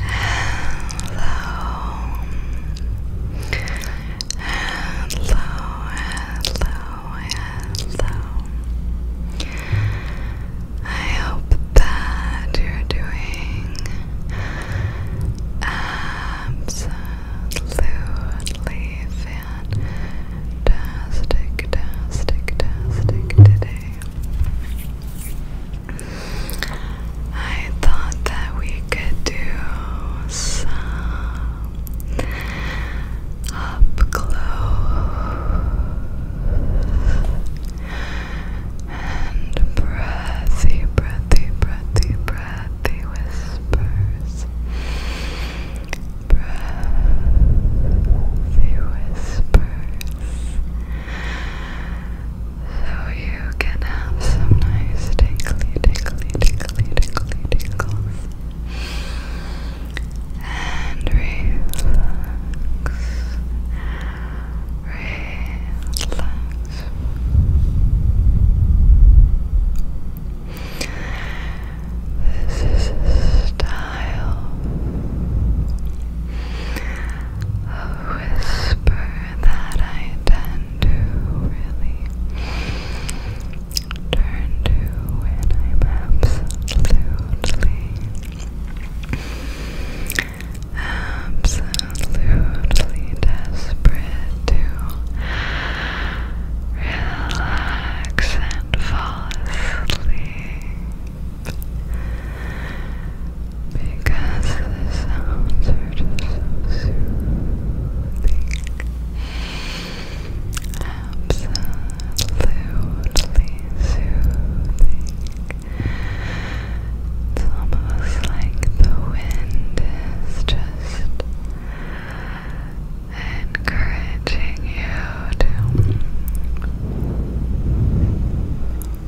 Hello. Hello, hello, hello. I hope that you're doing absolutely fantastic, fantastic, fantastic today. I thought that we could do some up close and breathy, breathy, breathy, breathy whispers. Breathy whispers. So you can have some nice tingly, tingly, tingly, tingly tingles. And relax, relax. This is style a whisper that I tend to really turn to when I'm absolutely, absolutely desperate to relax and fall asleep. Because the sounds are just so soothing. Absolutely soothing. It's almost like the wind is just encouraging you to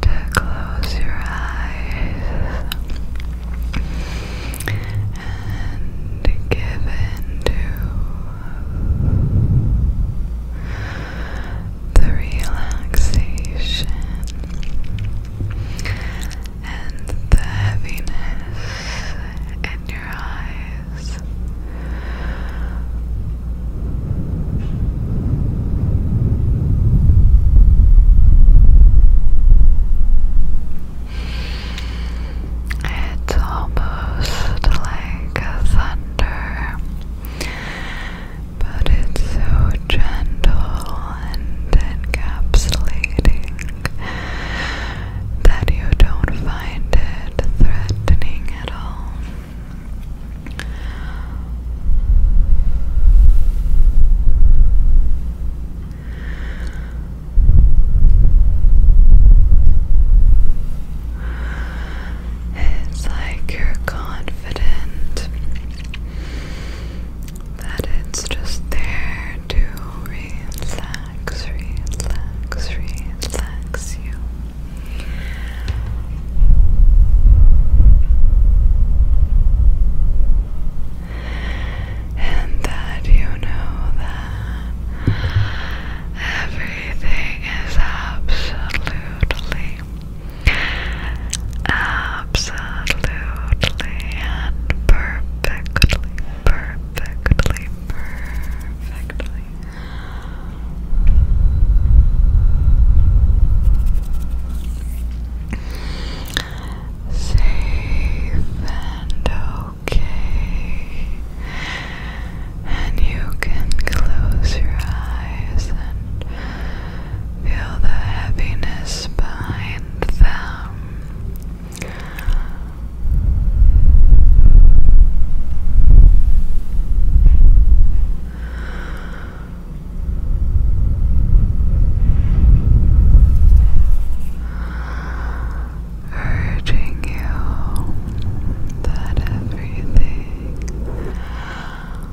to close your eyes and give in to the relaxation and the heaviness in your eyes. It's almost like a thunder, but it's so gentle and encapsulating that you don't find it threatening at all. It's like you're confident that it's just there to relax, relax, relax you and that you know that everything is absolutely, absolutely, and perfectly, perfectly, perfectly. Safe and okay. And you can close your eyes and feel the heaviness behind them urging you that everything is absolutely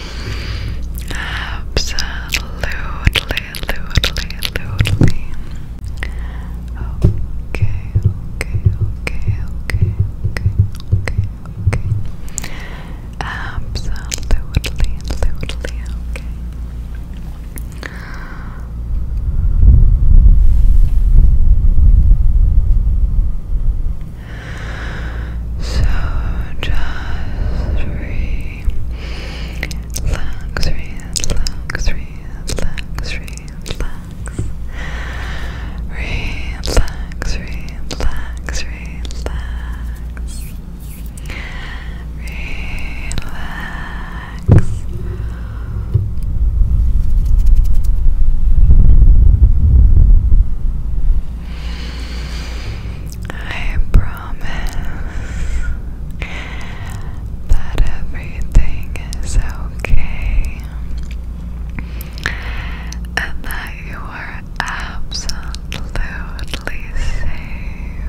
Absolutely, absolutely, absolutely. Okay, okay, okay, okay, okay, okay, okay. Absolutely, absolutely, Okay. So just relax, relax, relax, relax, relax, relax, relax, relax. Relax. I promise that everything is okay and that you are absolutely safe.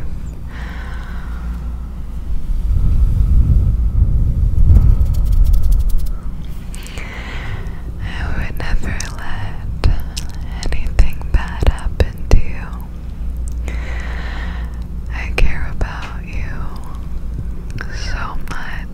I would never let anything bad happen to you. I care about you so much.